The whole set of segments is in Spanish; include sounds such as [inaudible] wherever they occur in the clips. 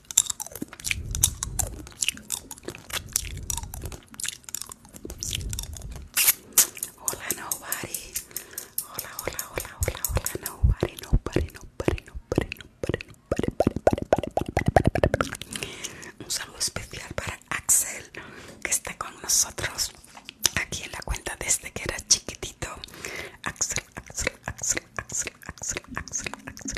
Hola Hola, hola, hola, hola, hola Un saludo especial para Axel que está con nosotros aquí en la cuenta desde este que era chiquitito. Axel, Axel, Axel, Axel, Axel, Axel, Axel,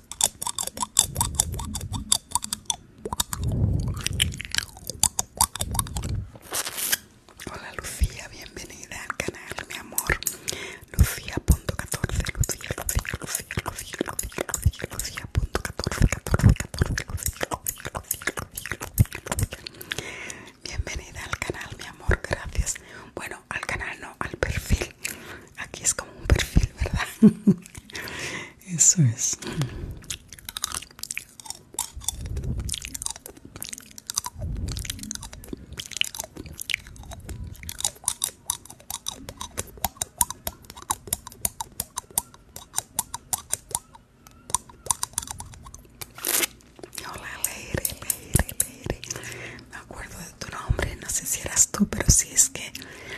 Hola Lucía, bienvenida al canal, mi amor. Lucía.14, Lucía, Lucía, Lucía, Lucía, Lucía, punto 14, Bienvenida al canal, mi amor, gracias. Bueno, al canal no, al perfil. Aquí es como un perfil, ¿verdad? [laughs] Eso es. Hola, Leire, Leire, Leire. Me acuerdo de tu nombre, no sé si eras tú, pero sí es que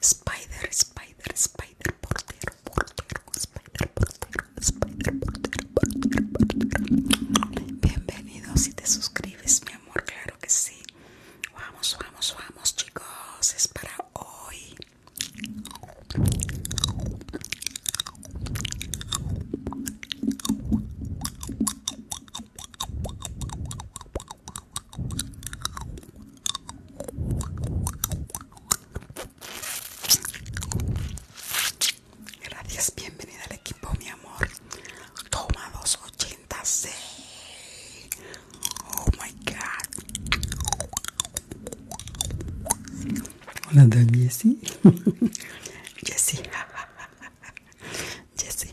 Spider, Spider, Spider, portero, portero, Spider, portero, Spider, portero, portero, portero. Bienvenido si te suscribes, mi amor, claro que sí. Vamos, vamos, vamos, chicos, es para hoy. Gracias, bienvenida al equipo, mi amor. Toma dos 286. Oh my god. Hola, Jessie. Jessie. Jessie.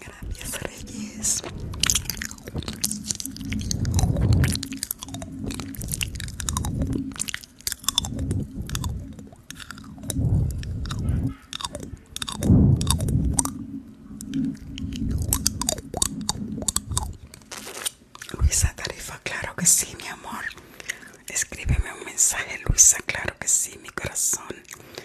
Gracias, Reyes. Luisa Tarifa, claro que sí, mi amor. Escríbeme un mensaje, Luisa, claro que sí, mi corazón.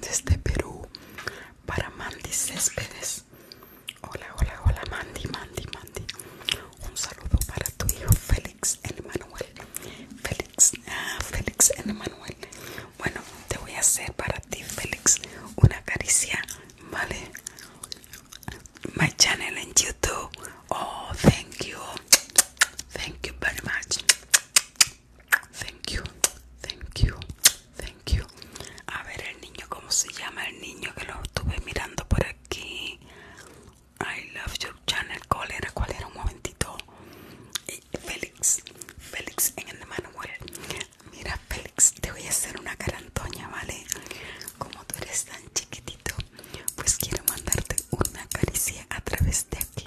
desde Perú para Mandy Céspedes. Hola, hola, hola Mandy, Mandy, Mandy. Un saludo para tu hijo Félix Manuel Félix, ah, Félix Manuel Bueno, te voy a hacer para ti, Félix, una caricia, ¿vale? My channel en YouTube. Oh, thank you. Thank you very much. Thank you, thank you, thank you. A ver el niño, ¿cómo se llama el niño que lo estuve mirando por aquí? I love your channel. ¿Cuál era? ¿Cuál era? Un momentito. Eh, Félix, Félix en el manual. Mira, Félix, te voy a hacer una carantoña, ¿vale? Como tú eres tan chiquitito, pues quiero mandarte una caricia a través de aquí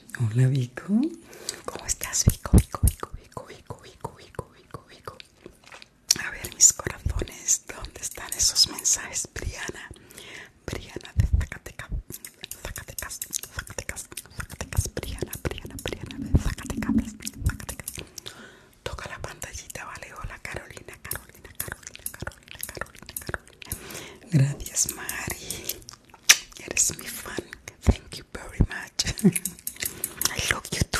Hola Vico, ¿cómo estás Vico, Vico, Vico, Vico, Vico, Vico, Vico, Vico, Vico? A ver mis corazones, ¿dónde están esos mensajes? Briana, Briana de Zacatecas, Zacatecas, Zacatecas, Zacatecas, Briana, Briana, Briana de Zacatecas, Zacatecas. Toca la pantallita, vale, hola Carolina, Carolina, Carolina, Carolina, Carolina, Carolina. Gracias Mari. It is me fun. Thank you very much. [laughs] I love you too.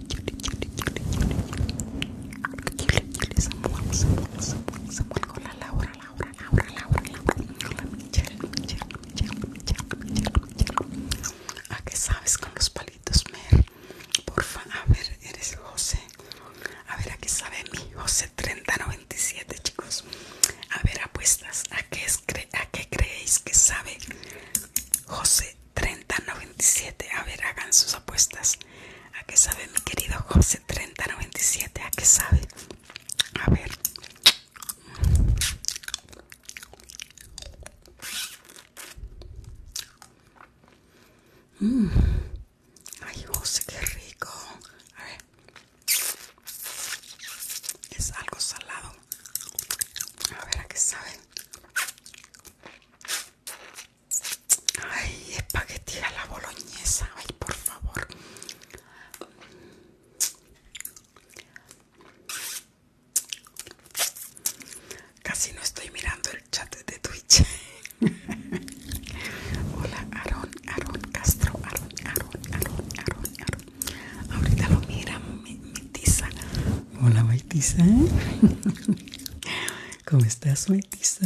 ¿A qué sabes con los palitos, Mer? Porfa, a ver, eres José. A ver, ¿a qué sabe mi José 3097, chicos? A ver, apuestas, ¿a qué, a qué creéis que sabe José 3097? A ver, hagan sus apuestas. ¿A qué sabe mi querido José 3097? ¿A qué sabe? A ver. Mmm. Ay, José, qué rico. A ver. Es algo salado. A ver a qué sabe. Ay, espagueti a la boloñesa, ay, por favor. Casi no estoy mirando el chat de Twitch. [laughs] Hola, Aaron, Aaron Castro, Aaron, Aaron, Aaron, Aaron, Ahorita lo miramos, mi, Hola, Maitisa. [laughs] ¿Cómo estás, Maitisa?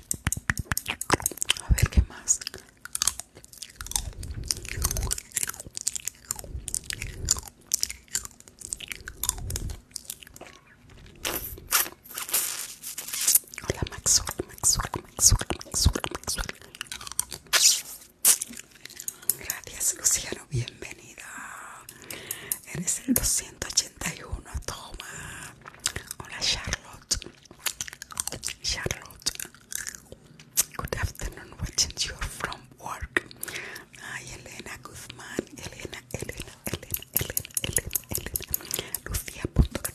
A ver qué más. Hola Maxwell, Maxwell, Maxwell, Maxwell, Maxwell. Gracias Luciano, bienvenida. Eres el 280. 61 toma hola Charlotte Charlotte good afternoon watching you're from work Hi Elena Guzman Elena Elena Elena Elena Elena Elena Lucia Lucia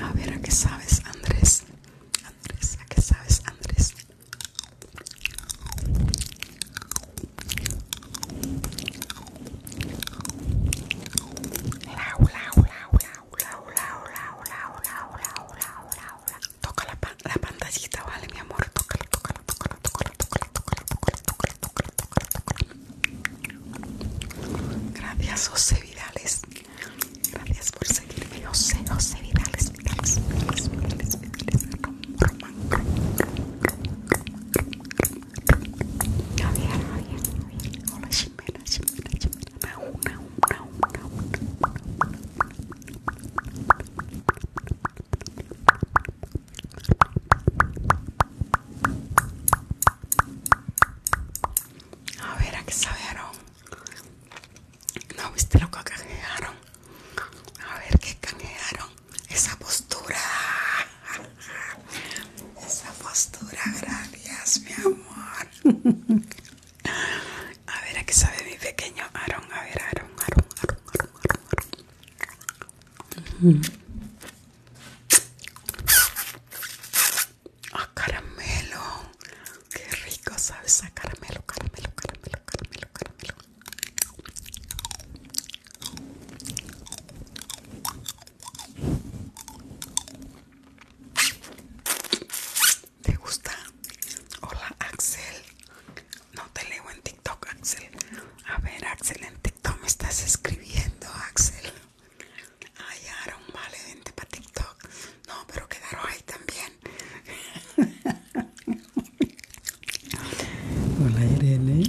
A ver, ¿a qué sabes, Andrés? Andrés, ¿a qué sabes, Andrés? lau, lau, lau, lau, lau, lau, lau, lau, lau, Toca la, pan pantallita, vale, mi amor. toca toca Gracias, José Vidales. Gracias por seguirme, José, José Vidales, Vidales, Vidales, Vidales, Vidales. Hola, una, una, una, A ver, ¿a qué sabieron? ¿No viste lo que canjearon? A ver, ¿qué canjearon? Esa postura. Esa postura, gracias, mi amor. A ver, ¿a qué sabe mi pequeño Aaron? A ver, Aaron, Aaron, Aaron, Aaron, Aaron, mm. ¡Ah, caramelo! ¡Qué rico sabes a caramelo, caramelo, caramelo, caramelo, caramelo! ¿Te gusta? Hola Axel. No te leo en TikTok, Axel. A ver, Axel, en TikTok me estás escribiendo, Axel. Ay, Aaron, vale, vente para TikTok. No, pero quedaron ahí también. [laughs] Hola Irene.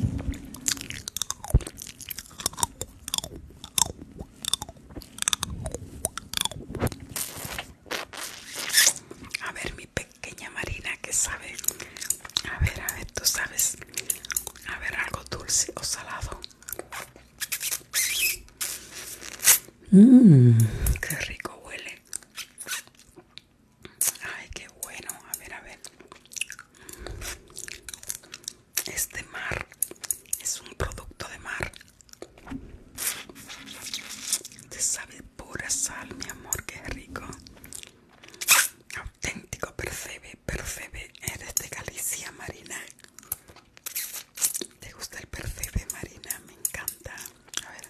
A ver, mi pequeña Marina, ¿qué sabe? A ver, a ver, tú sabes. A ver, algo dulce o salado. Mmm, qué rico huele. Ay, qué bueno. A ver, a ver. Este mar es un producto de mar. Te sabe pura sal, mi amor, que rico. Auténtico, percebe, percebe. Eres de Galicia, Marina. ¿Te gusta el percebe, Marina? Me encanta. A ver.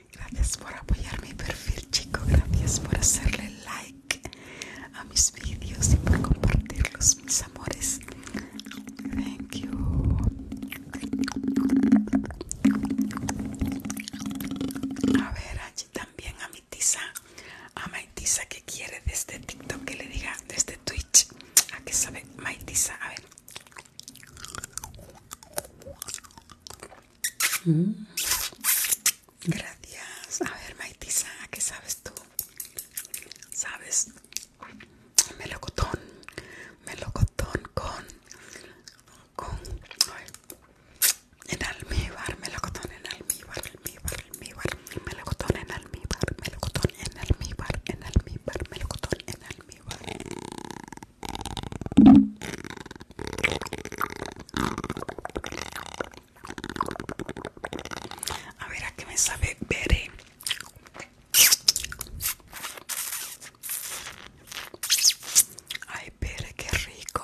Gracias por apoyar mi perfil, chico. Gracias por hacerle like a mis vídeos y por compartirlos, mis amores. Thank you. A ver, allí también a mi tiza. A Maitisa que quiere desde este TikTok que le diga desde este Twitch. ¿A qué sabe Maitisa? A ver. Mm. Gracias. A ver, Maitisa, ¿qué sabes tú? ¿Sabes? Melocotón. Melocotón con... con... En almíbar, melocotón en almíbar, almíbar, almíbar, melocotón en almíbar, melocotón en almíbar, en almíbar, melocotón en almíbar. A ver a qué me sabe pere eh? Ay, pere, qué rico.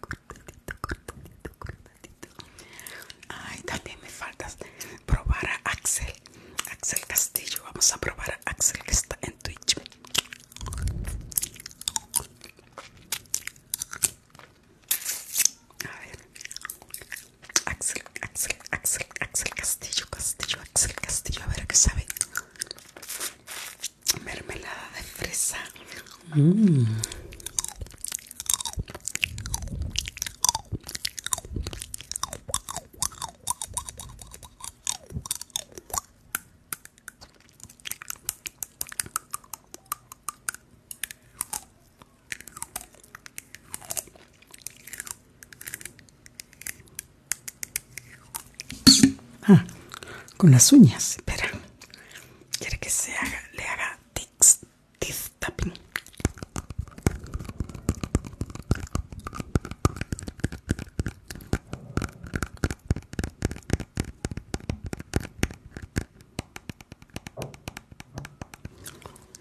cortadito, cortadito. Ay, también me faltas probar a Axel. Axel Castillo. Vamos a probar a Axel que está en Twitch. A ver. Axel, Axel, Axel, Axel Castillo, Castillo, Axel Castillo. A ver a qué sabe mermelada de fresa. Ah, con las uñas, espera quiere que se haga, le haga tiz tapping.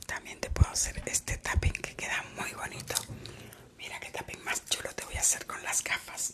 También te puedo hacer este tapping que queda muy bonito. Mira qué tapping más chulo te voy a hacer con las gafas.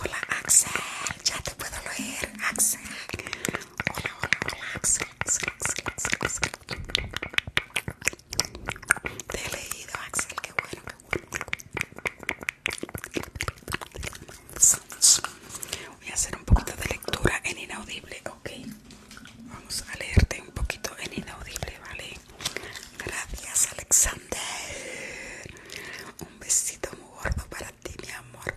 Hola Axel, ya te puedo leer, Axel. Hola, hola, hola, Axel. Te he leído, Axel, qué bueno, qué bueno. Voy a hacer un poquito de lectura en inaudible, ok. Vamos a leerte un poquito en inaudible, ¿vale? Gracias, Alexander. Un besito muy gordo para ti, mi amor.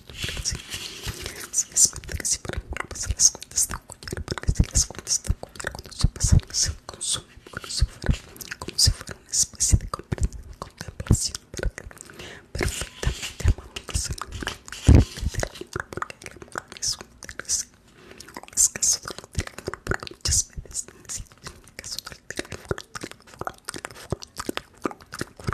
Si es que si las cuentas porque si las cuentas están cuando se pasan se consumen como si fuera, como si fuera una especie de contemplación, perfectamente porque el amor es un es caso del amor, porque muchas veces, caso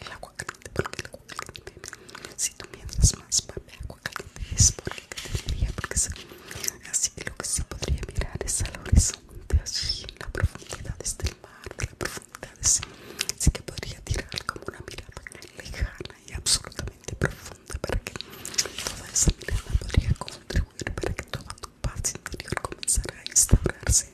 El agua caliente porque el agua caliente Si tú mientras más agua caliente es porque te porque Así que lo que se podría mirar es al horizonte, así en la profundidad del mar, de la profundidad Así que podría tirar como una mirada lejana y absolutamente profunda para que toda esa mirada podría contribuir para que toda tu paz interior comenzara a instaurarse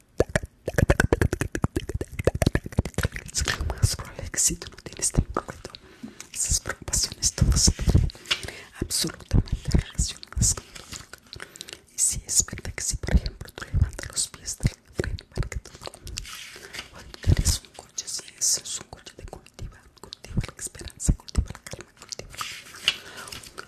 es que que tú no tienes tan correcto, esas preocupaciones todas absolutamente relacionadas con tu vida Y si es verdad que si, por ejemplo, tú levantas los pies del frente para que tienes un coche, si es un coche de cultiva, cultiva la esperanza, cultiva la calma, cultiva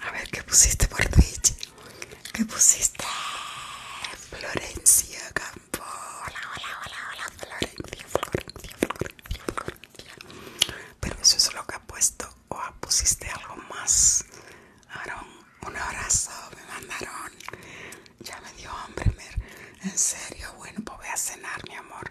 A ver, ¿qué pusiste por Twitch? ¿Qué pusiste? Florencia Campo. Hola, hola, hola, hola, Florencia, Florencia, Florencia, Pero eso es lo que ha puesto o pusiste algo más. Aaron, un abrazo me mandaron. Ya me dio hambre, Mer. En serio, bueno, pues voy a cenar, mi amor.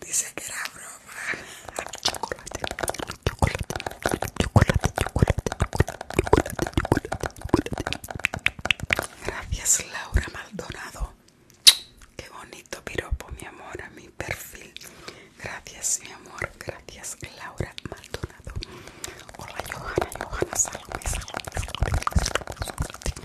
Dice que era broma. Chocolate, chocolate, chocolate, chocolate, chocolate, chocolate. Gracias, Laura Maldonado. Qué bonito piropo, mi amor, a mi perfil. Gracias, mi amor. Gracias, Laura Maldonado. Hola, Johanna, Johanna, salve,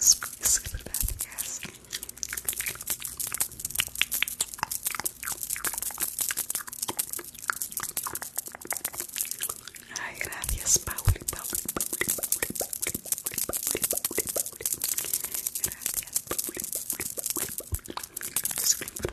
Super bad, yes. Ay, gracias, Pauli, Pauli, Pauli, Pauli, Pauli, Pauli, Pauli, Pauli,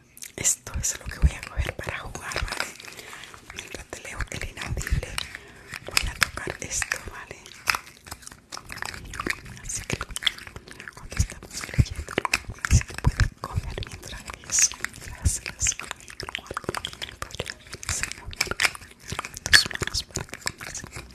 Esto es lo que voy a coger para jugar, ¿vale? Mientras te leo el inaudible, voy a tocar esto, ¿vale? Así que cuando estamos leyendo. Así que pueden comer mientras eso, Gracias. Tus manos para que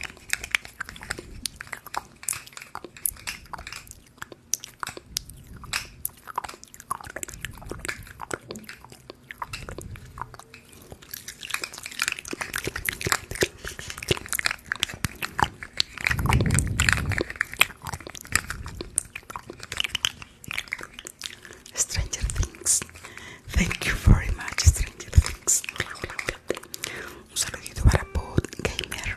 Stranger Things. Thank you very much, Stranger Things. Un saludito para Paul Gamer.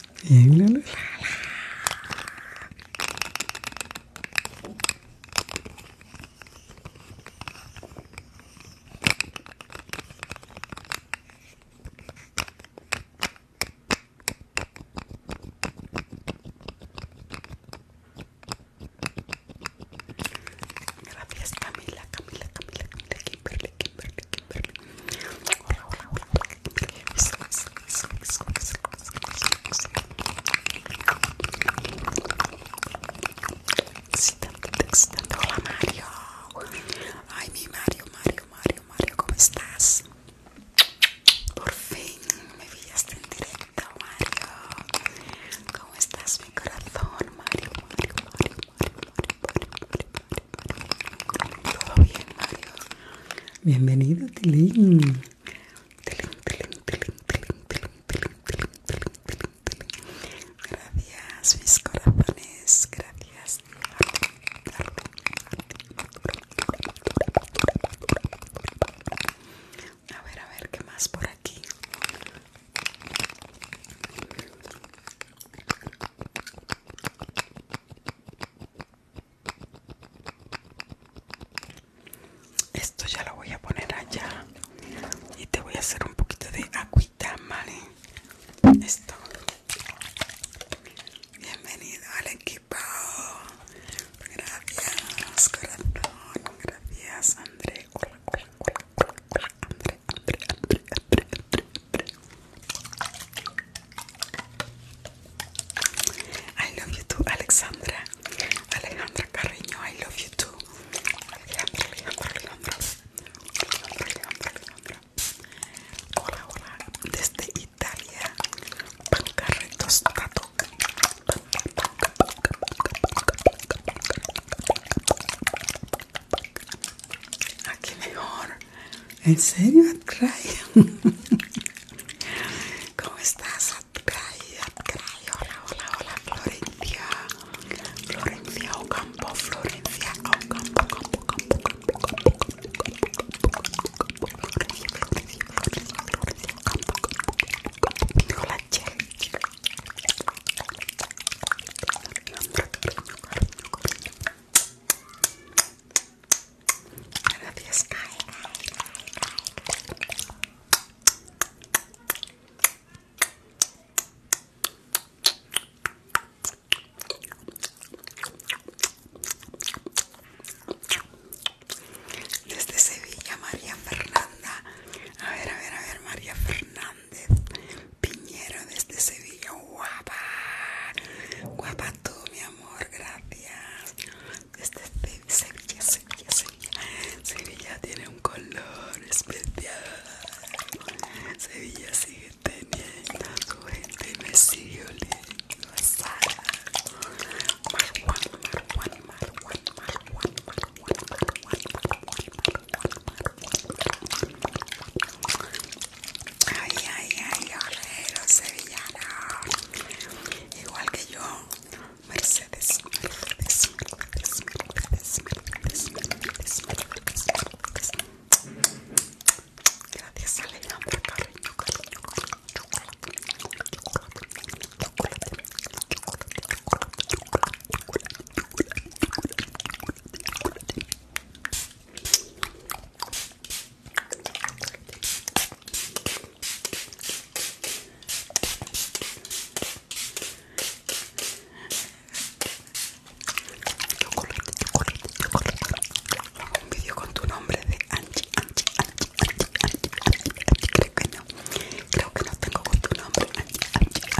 Y... Gracias Camila, Camila, Camila, Camila Kimberly. Hola, Mario. Ay, mi Mario, Mario, Mario, Mario, ¿cómo estás? Por fin me en directo, Mario. ¿Cómo estás, mi corazón? Mario, Mario, Mario, Mario. Todo bien, Mario. Bienvenido, Tilín. Tilín, Gracias, mis corazones. Gracias. A ver, a ver, ¿qué más por aquí? Esto ya lo voy a poner allá y te voy a hacer un poquito de agüita, ¿vale? Esto. Bienvenido al equipo. Gracias, corazón. Gracias, André. André, André, André, André, André, I love you too, Alexandra. Alejandra Carreño, I love you too. Alejandra, Alejandra, Alejandra. Hola, hola. Desde Italia. Pancarretos Tato. Aquí mejor. ¿En serio, Atcray? ¿Cómo estás, hola, hola, hola, Florencia. Florencia Ocampo, Florencia Ocampo, Campo, Campo, Campo, Campo, Campo, campo, campo, campo, campo, campo, Campo, Hola, campo Gracias. Desde Sevilla, María Fernanda. A ver, a ver, a ver, María Fernández. Piñero desde Sevilla, guapa. Guapa tú, mi amor gracias. Este Sevilla, Sevilla, Sevilla. tiene un color especial. Sevilla sigue teniendo me sigue oliendo a sal. Ay, ay, ay, lo sevillano. Igual que yo, Mercedes, Gracias, chocolate Chocolate, yo Hago un vídeo con tu nombre de Anchi, Anchi, Creo que no. Creo que no tengo con tu nombre, Angie, Angie,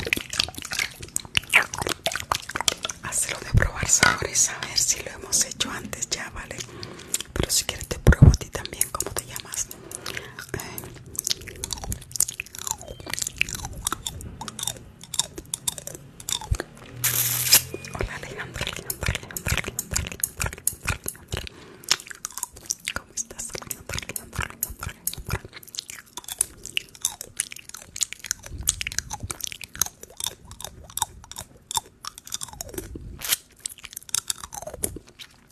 hácelo de probar sabores a ver si lo hemos hecho antes ya vale pero si quieres te pruebo a ti también cómo te llamas eh. hola ¿Cómo estás?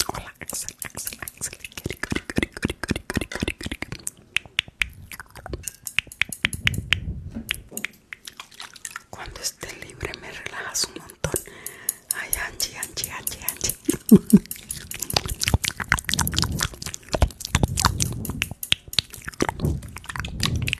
Hola, Cuando esté libre me relajas un montón. Ay, Anchi, Anchi,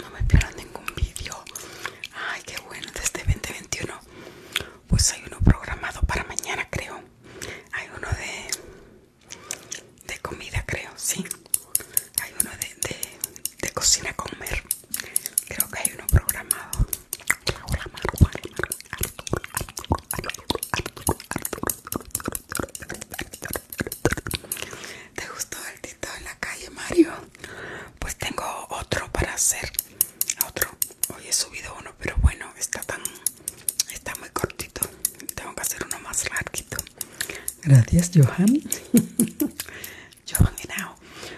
No me pierdan ningún vídeo. Ay, qué bueno, desde 2021. Este pues hay uno programado para mañana, creo. Hay uno de de comida, creo, sí. Hay uno de, de, de cocina comer. Creo que hay uno programado. ¿Te gustó el tito en la calle, Mario? Pues tengo otro para hacer. Otro. Hoy he subido uno, pero bueno, está tan. Está muy cortito. Tengo que hacer uno más larguito. Gracias, Johan. [laughs] Johan, now.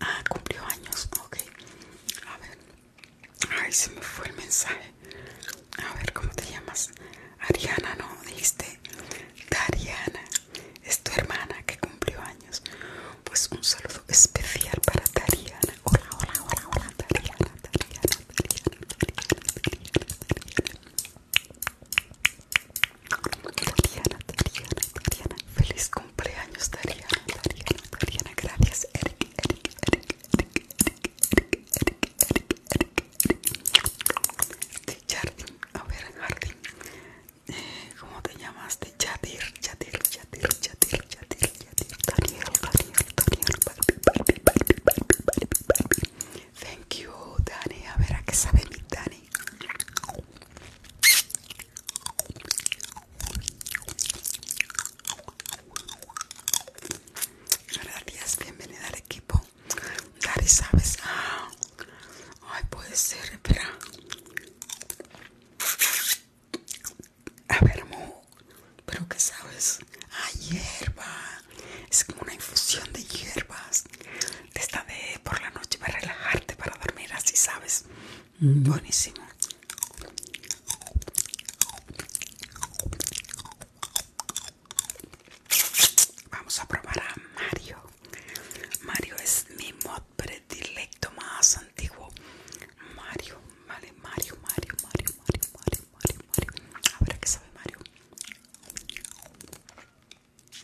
Ah, cumplió años, ok. A ver. Ay, se me fue el mensaje. A ver, ¿cómo te llamas? Ariana, ¿no? Dijiste. Dariana. Es tu hermana que cumplió años. Pues un saludo especial para Dariana. Hola, hola, hola, hola, Tariana, Tariana. Dariana, Dariana, Dariana, Dariana, Dariana, Dariana, Feliz cumpleaños, Dariana, Gracias, ¿Cómo te llamaste? Erik, Thank you, Dani. A ver, ¿a qué sabe mi Dani? Hola bienvenida al equipo. Dari, ¿sabes? Ay, puede ser, espera. A ver, Mo, pero ¿qué sabes? Ay hierba. Es como una infusión de hierbas. Te de por la noche para relajarte, para dormir, así sabes. Mm, buenísimo. Vamos a probar a Mario. Mario es mi mod predilecto más antiguo. Mario, vale, Mario, Mario, Mario, Mario, Mario, Mario, Mario. A ver qué sabe Mario.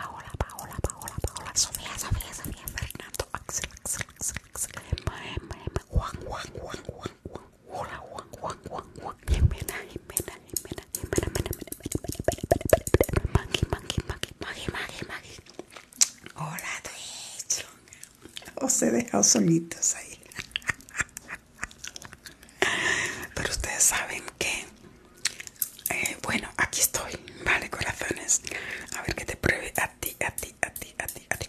Paola, Sofía, Sofía, Sofía, Fernando, Axel, hola, hola, o se dejado solitos ahí. Pero ustedes saben que, eh, bueno, aquí estoy, vale, corazones. A ver que te pruebe a ti, a ti, a ti, a ti, a ti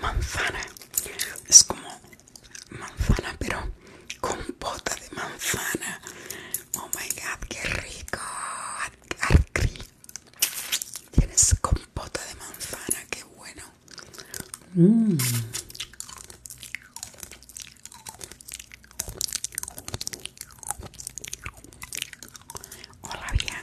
manzana es como manzana pero compota de manzana oh my god qué rico tienes compota de manzana qué bueno hola mm. bien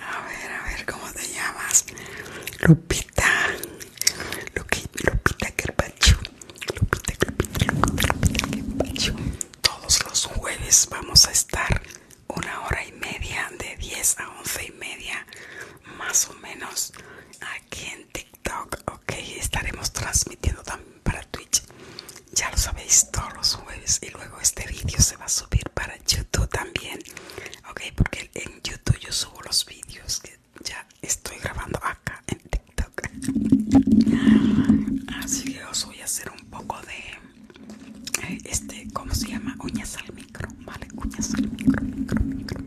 A ver, a ver, ¿cómo te llamas? Lupita. Lupita Carpacho. Lupita, Lupita, Lupita Carpacho. Todos los jueves vamos a estar una hora y media, de 10 a 11 y media, más o menos, aquí en TikTok. Ok, estaremos transmitiendo también para Twitch. Ya lo sabéis todos los jueves y luego este vídeo se va a subir para YouTube también, ok, porque en YouTube yo subo los vídeos que ya estoy grabando acá en TikTok. [laughs] Así que os voy a hacer un poco de eh, este, ¿cómo se llama? Uñas al micro, ¿vale? Uñas al micro, micro, micro, micro.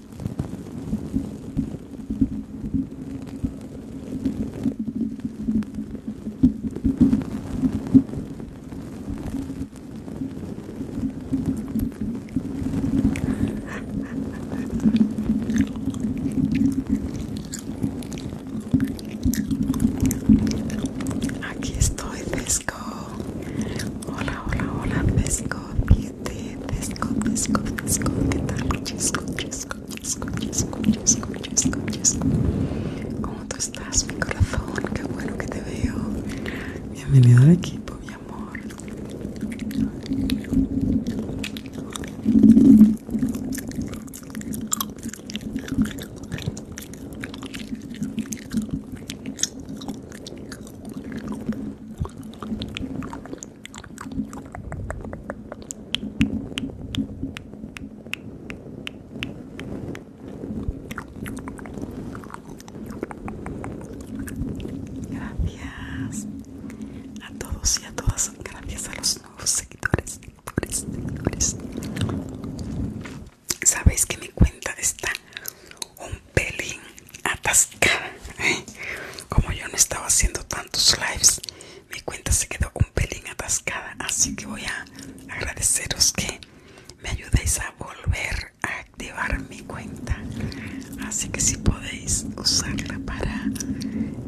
Aquí estoy, pesco. Hola, hola, hola, pesco escuches Tesco, ¿Cómo tú estás, mi corazón? Qué bueno que te veo Bienvenido al equipo, mi amor Gracias a todos y a todas, gracias a los nuevos seguidores. seguidores, seguidores. Sabéis que mi cuenta está un pelín atascada. Como yo no estaba haciendo tantos lives, mi cuenta se quedó un pelín atascada. Así que voy a agradeceros que me ayudéis a volver a activar mi cuenta. Así que si podéis usarla para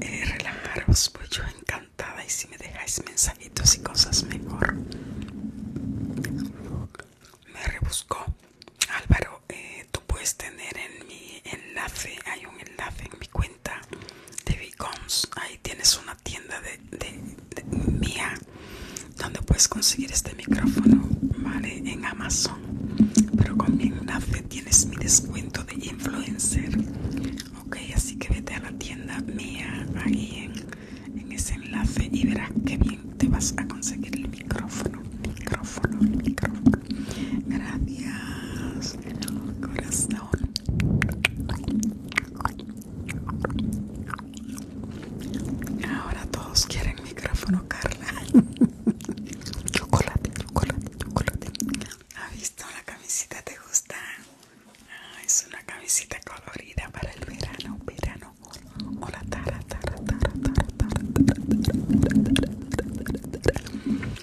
eh, relajaros, pues yo encantada. Y si me dejáis mensajitos y cosas mejor. Me rebuscó Álvaro. Eh, tú puedes tener en mi enlace hay un enlace en mi cuenta de Beacons ahí tienes una tienda de, mía donde puedes conseguir este micrófono vale en Amazon pero con mi enlace tienes mi descuento de influencer ok así que vete a la tienda mía ahí en, en ese enlace y verás que bien te vas a conseguir el micrófono micrófono, micrófono, micrófono. Gracias, corazón. Ahora todos quieren micrófono, Carla. chocolate, chocolate, chocolate. ¿Has visto la camisita? ¿Te gusta? es una camisita colorida para el verano, verano. Hola, tara.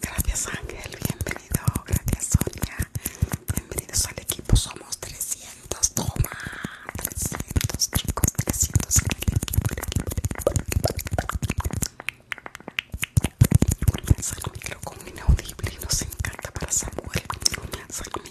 Gracias Ángel, bienvenido. Gracias Sonia. Bienvenidos al equipo. Somos 300. Toma. 300 chicos. 300 en el equipo. Nos encanta para Samuel.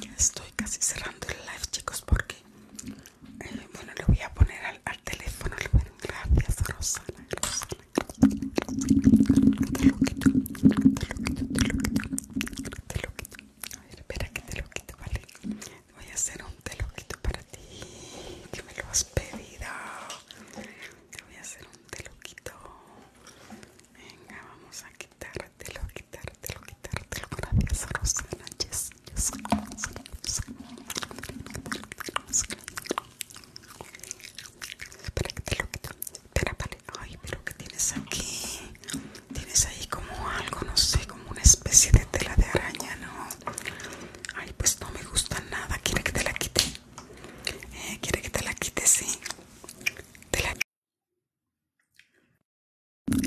Ya estoy casi cerrando el live, chicos, porque eh, bueno, le voy a poner al, teléfono. Le voy a gracias, Rosana. Rosana. Te te lo quito, te lo quito. Te lo quito. A ver, espera que te lo quito, vale. Voy a hacer un teloquito para ti, que me lo has pedido. Te voy a hacer un teloquito. Venga, vamos a quitártelo, quitártelo, quitártelo. Gracias, Rosana. Yes, Espera que te lo quito. Espera, vale. Ay, pero ¿qué tienes aquí? Tienes ahí como algo, no sé, como una especie de tela de araña, ¿no? Ay, pues no me gusta nada. ¿Quiere que te la quite? ¿Eh? ¿Quiere que te la quite? Sí. Te la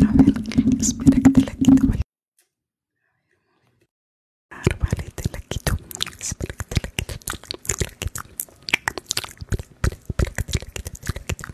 A ver, espera que te la quito, ah, ¿vale? te la quito. Espera que te la quito. Te la quito. Espera, espera que te la quito, te la quito.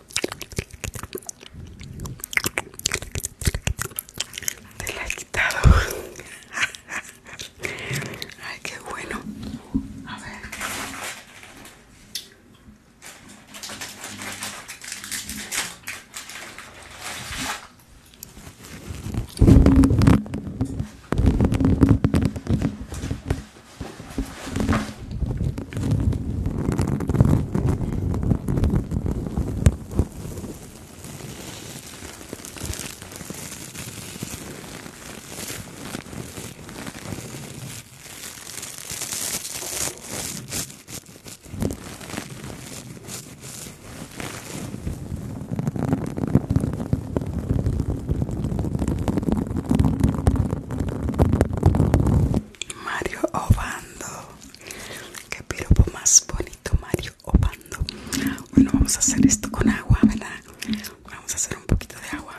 Te la he quitado. [laughs] Ay, qué bueno. A ver. Mario Obando Qué piropo más bonito, Mario Obando. Bueno, vamos a hacer esto con agua, ¿verdad? Vamos a hacer un poquito de agua.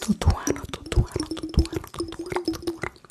Tutuano, tutuano, tutuano, tutuano, tutuano.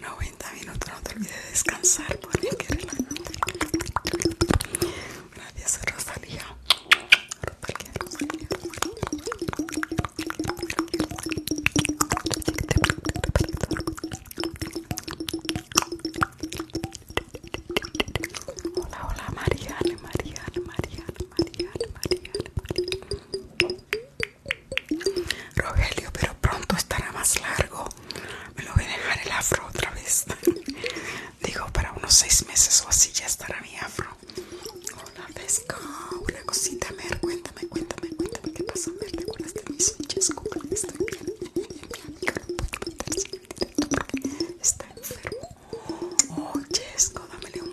90 minutos, no te olvides de descansar porque Gracias Rosalía. Gracias Rosalía, Hola, hola Mariana, Mariana, Mariana, Mariana, Mariana. Rogelio, pero pronto estará más largo. Me lo voy a dejar el afro otra vez. Digo, para unos seis meses o así ya estará mi afro. Una pesca. Una cosita, Mer. Cuéntame, cuéntame, cuéntame qué pasa, Mer. ¿Te acuerdas de mis chasco? Estoy bien. Mi está enfermo. Oh, Chesco, dámele un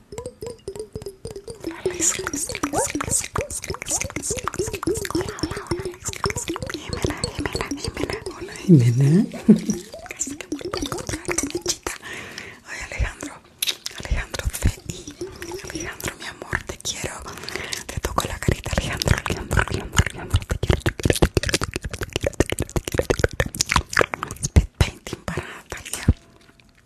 Hola, mi amor, te quiero. Te toco la carita, Alejandro. Alejandro, Alejandro, Alejandro. Te painting para Gracias,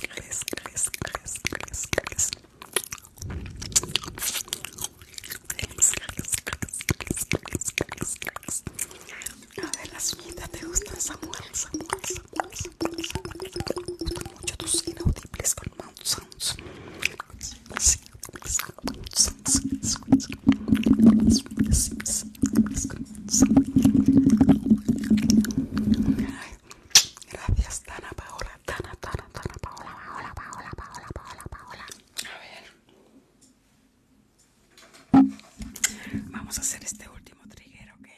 gracias, gracias, gracias, gracias, gracias. A ver, te gustan, Mucho inaudibles con Gracias, Dana Paola, Dana, Dana, Dana, Paola, Paola, Paola, Paola, Paola, Paola. A ver, vamos a hacer este último trigger, ok.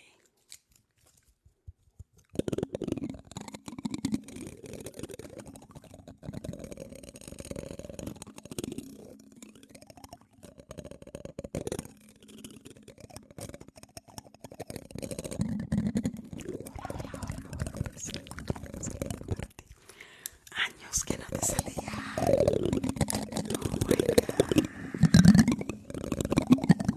Años que no te salía. Oh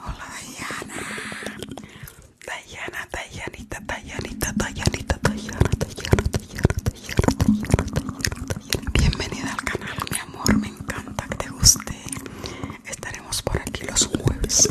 Hola Diana Dayana, Dayanita, Dayanita, Bienvenida al canal mi amor, me encanta que te guste Estaremos por aquí los jueves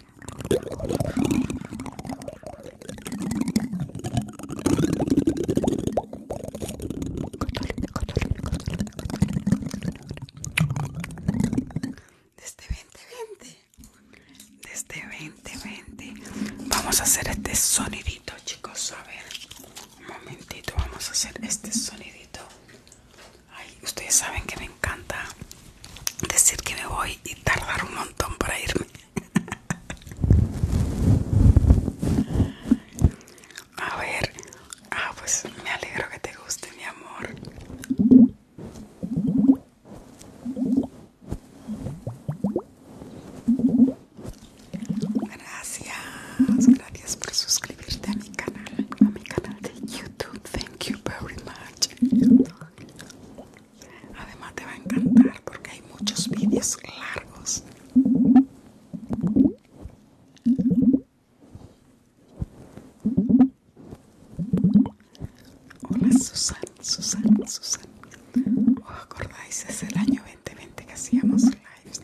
desde 2020. Desde 2020. Vamos a hacer este sonidito, chicos. A ver. Un momentito. Vamos a hacer este sonidito. Ay, ustedes saben que me encanta decir que me voy y tardar un montón para irme. A ver, ah, pues me alegro que te guste, mi amor. Gracias, gracias por suscribirte a mi canal, a mi canal de YouTube. Thank you very much. Además te va a encantar porque hay muchos vídeos largos. Hola Susan, Susan, Susan. ¿Os acordáis? Es el año 2020 que hacíamos lives.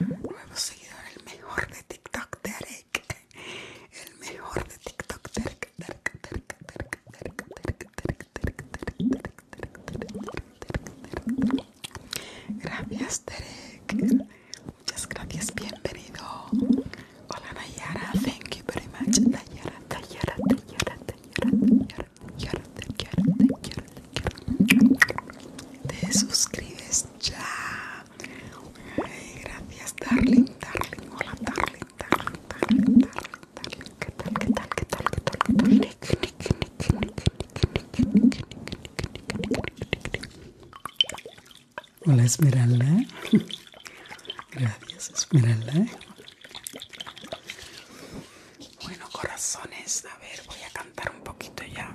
Nuevo seguidor, el mejor de TikTok, Derek el mejor de TikTok. Gracias, Derek. Muchas gracias, bienvenido. Hola, Nayara. Thank you very much. Te suscribes ya. gracias, darling. Hola, darling. Hola Esmeralda. Gracias Esmeralda. Bueno corazones, a ver, voy a cantar un poquito ya.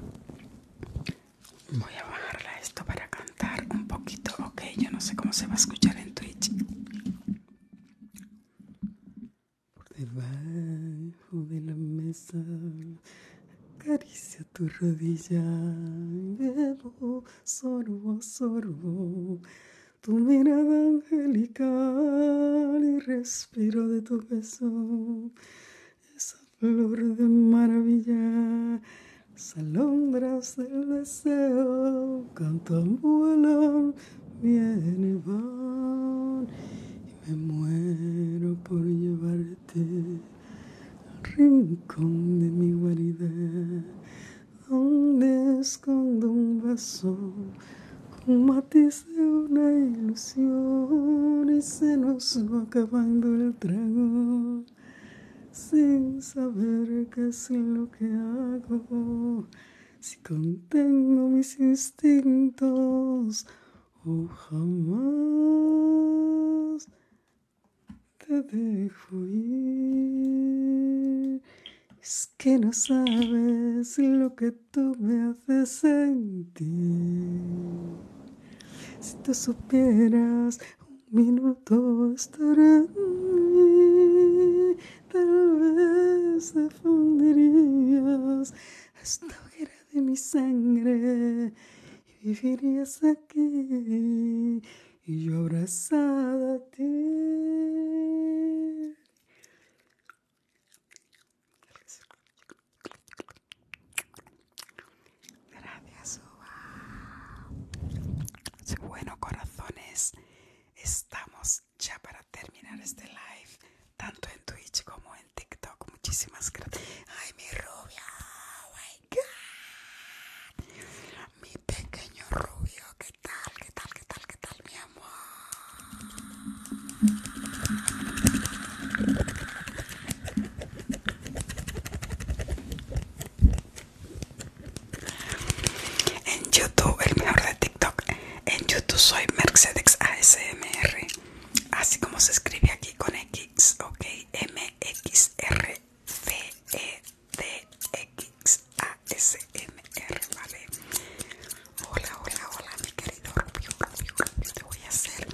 Voy a bajarla esto para cantar un poquito, ok. Yo no sé cómo se va a escuchar en Twitch. Por debajo de la mesa, caricia tu rodilla y bebo sorbo sorbo. Tu mirada angelical y respiro de tu beso, esa flor de maravilla, las alondras del deseo, cantan, vuelo, viene y van. Y me muero por llevarte al rincón de mi guarida, donde escondo un vaso un matiz de una ilusión y se nos va acabando el trago sin saber que es lo que hago, si contengo mis instintos o oh, jamás te dejo ir. Es que no sabes lo que tú me haces sentir. Si tú supieras un minuto todo mí tal vez te fundirías esta hoguera de mi sangre y vivirías aquí y yo abrazada a ti. Gracias, Uva. Bueno, corazones. Estamos ya para terminar este live, tanto en Twitch como en TikTok. Muchísimas gracias. Ay, mi rubio, oh my God. Mi pequeño rubio, ¿qué tal? ¿Qué tal? ¿Qué tal? ¿Qué tal, mi amor? En YouTube, el mejor de TikTok. En YouTube soy Mercedes ASMR. Así como se escribe aquí con X, ok. m x r f e d x a s m r vale. Hola, hola, hola, mi querido Rubio, Rubio, voy a hacer.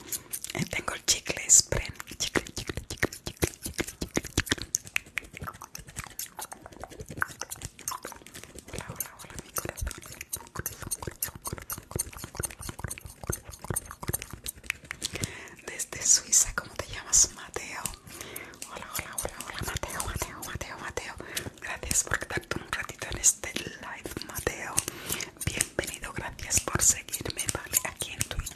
Tengo el chicle spray. Chicle, chicle, chicle, chicle, chicle, chicle. Hola, hola, hola, mi corazón. Desde Suiza, ¿cómo te llamas, Mateo? Hola, hola, hola, hola, Mateo, Mateo, Mateo, Mateo. Gracias por quedarte un ratito en este live, Mateo. Bienvenido, gracias por seguirme, vale, aquí en Twitch.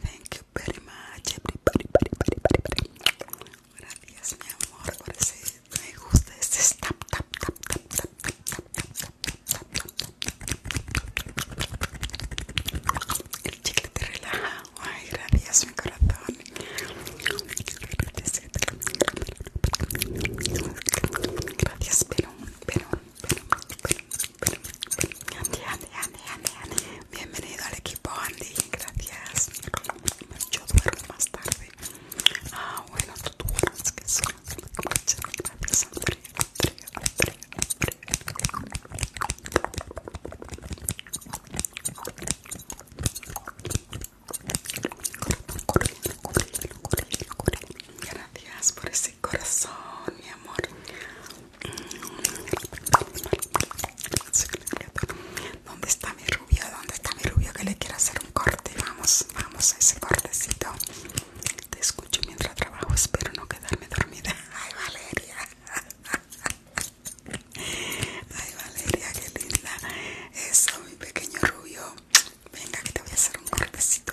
Thank you very much, everybody, Gracias, mi amor, por me gusta ese tap, tap, tap, tap, tap, tap, tap, tap, tap, tap. El chicle te relaja. Ay, gracias, mi corazón. Gracias, Perón, Perón, Perón. Andy, Andy, Andy, Andy, Andy. Bienvenido al equipo Andy, gracias. Yo duermo más tarde. Ah, bueno, tú duermes que sí. Gracias, Andrea, Gracias por ese corazón, mi amor. ¿Dónde está mi rubio? ¿Dónde está mi rubio que le quiero hacer un corte? Vamos, vamos a ese cortecito. Te escucho mientras trabajo, espero no quedarme dormida. [laughs] Ay, Valeria. [laughs] Ay, Valeria, qué linda. Eso, mi pequeño rubio. Venga, que te voy a hacer un cortecito.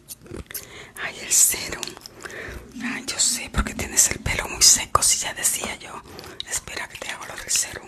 Hay el serum. Ay, yo sé, porque tienes el pelo muy seco, si ya decía yo. Espera que te hago lo del serum.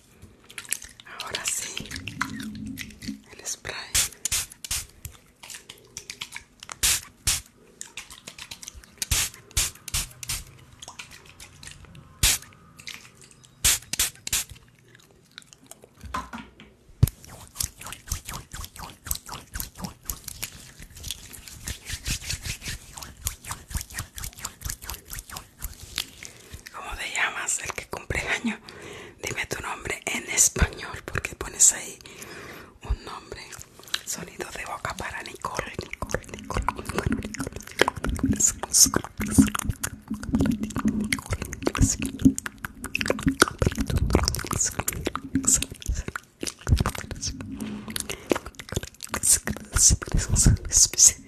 Ahora sí, el spray. ¿Cómo te llamas? El que cumple año. Dime tu nombre en español porque pones ahí un nombre. Sonido de boca para Nicole. Nicole, Nicole, Nicole, Nicole, Nicole, Nicole, Nicole,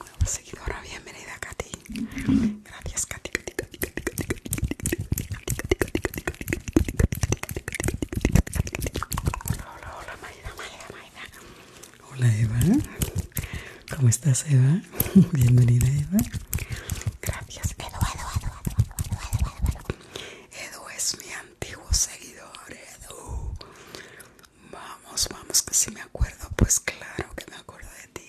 Nueva seguidora, bienvenida Katy. Gracias Katy. Hola, Hola, hola, Mayra, Hola Eva. ¿Cómo estás Eva? Bienvenida Eva. Gracias. Edu, Edu es mi antiguos seguidores. Uh. vamos, vamos, que si me acuerdo, pues claro que me acuerdo de ti.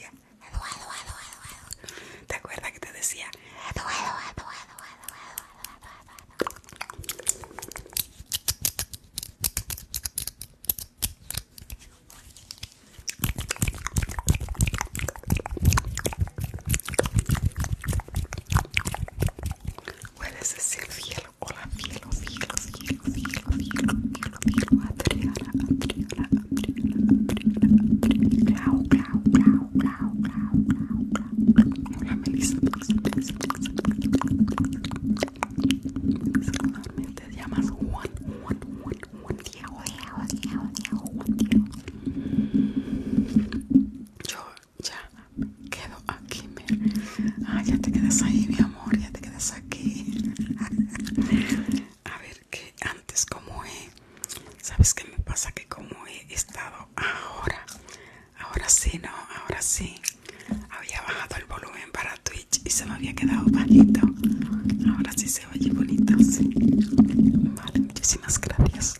¿Te acuerdas que te decía? Puedes decir cielo, hola, cielo, cielo, cielo, cielo, cielo, cielo, cielo, Hola, Melissa, Juan, Juan, Juan, ya quedo aquí, Ah, ya te quedas ahí, mi amor, ya te quedas aquí. [laughs] A ver, que antes como he, ¿sabes que me pasa? Que como he estado ahora, ahora sí, no, ahora sí. Había bajado el volumen para Twitch y se me había quedado bajito. Ahora sí se oye bonito, sí. Vale, muchísimas gracias.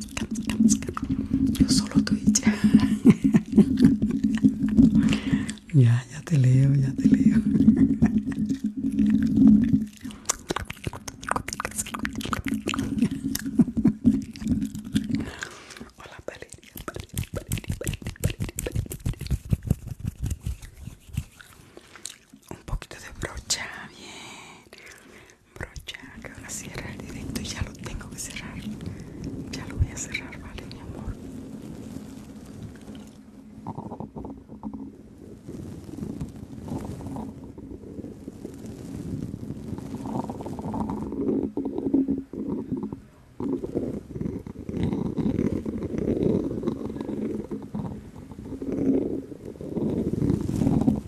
Yo solo y [laughs] ya, ya te leo, ya te leo. [laughs] Hola, Un poquito de brocha, bien brocha que ahora cierra el directo y ya lo tengo que cerrar ya lo voy a cerrar vale mi amor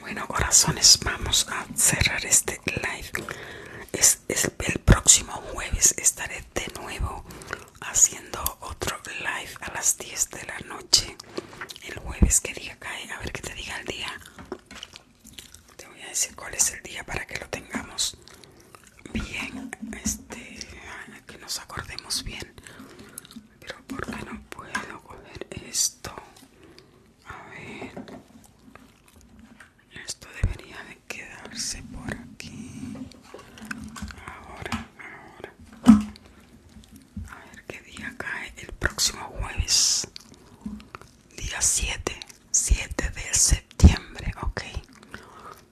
Bueno, corazones, vamos a cerrar este live. Es, el próximo jueves estaré de nuevo haciendo otro live a las 10 de la noche. El jueves que día cae, a ver qué te diga el día. Te voy a decir cuál es el día para que lo tengamos bien, este, que nos acordemos bien. Pero ¿por qué no puedo poner esto? A ver. Esto debería de quedarse por aquí. Ahora, ahora. A ver qué día cae el próximo jueves. Día 7. 7 de septiembre. Ok.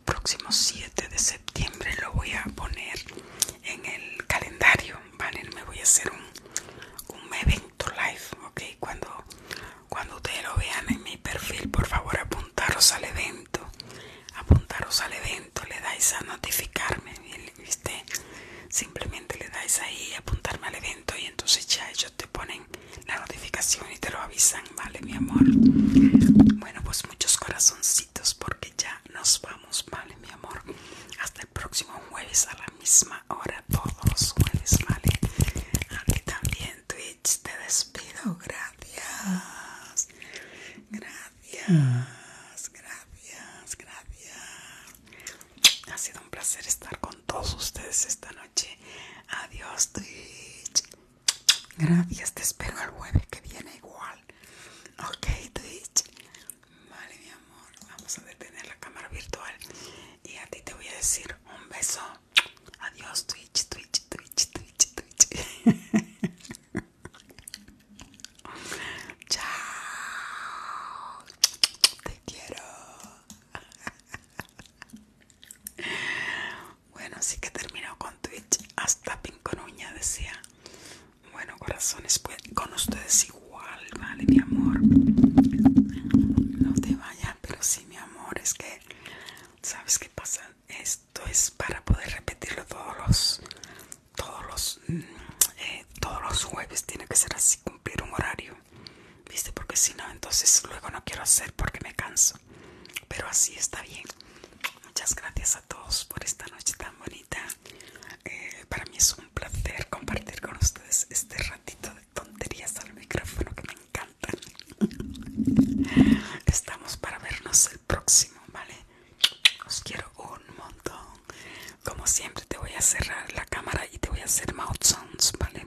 Próximo 7 de septiembre lo voy a poner en el calendario, ¿vale? Me voy a hacer un, evento live, ¿ok? Cuando, cuando ustedes lo vean en mi perfil, por favor apuntaros al evento, apuntaros al evento, le dais a notificarme, ¿viste? Simplemente le dais ahí apuntarme al evento y entonces ya ellos te ponen la notificación y te lo avisan, ¿vale, mi amor? Bueno, pues muchos corazoncitos porque ya nos vamos vale, mi amor. Hasta el próximo jueves a la misma hora, todos los jueves, vale. A ti también, Twitch, te despido. Gracias. Gracias, gracias, gracias. Ha sido un placer estar con todos ustedes esta noche. Adiós, Twitch. Gracias, te espero el jueves que viene igual. Ok, Twitch. Vale, mi amor, vamos a detener la cámara virtual y a ti te voy a decir un beso. Adiós, Twitch, Twitch, Twitch, Twitch, Twitch. [laughs] Chao. Te quiero. [laughs] Bueno, así que termino con Twitch. Hasta uña decía. Bueno, corazones, pues, con ustedes igual, vale, mi amor. No te vayas, pero sí, mi amor, es que, ¿sabes qué pasa? Esto es para poder repetirlo todos los, todos los, mm, eh, todos los jueves. Tiene que ser así, cumplir un horario, ¿viste? Porque si no, entonces luego no quiero hacer porque me canso. Pero así está bien. Muchas gracias a todos por esta noche tan bonita. Eh, para mí es un placer compartir con ustedes este ratito de tonterías al micrófono que me encantan. [laughs] Estamos para vernos el próximo, ¿vale? Os quiero un montón. Como siempre, te voy a cerrar la cámara y te voy a hacer mouth sounds, ¿vale?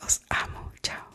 Os amo, chao.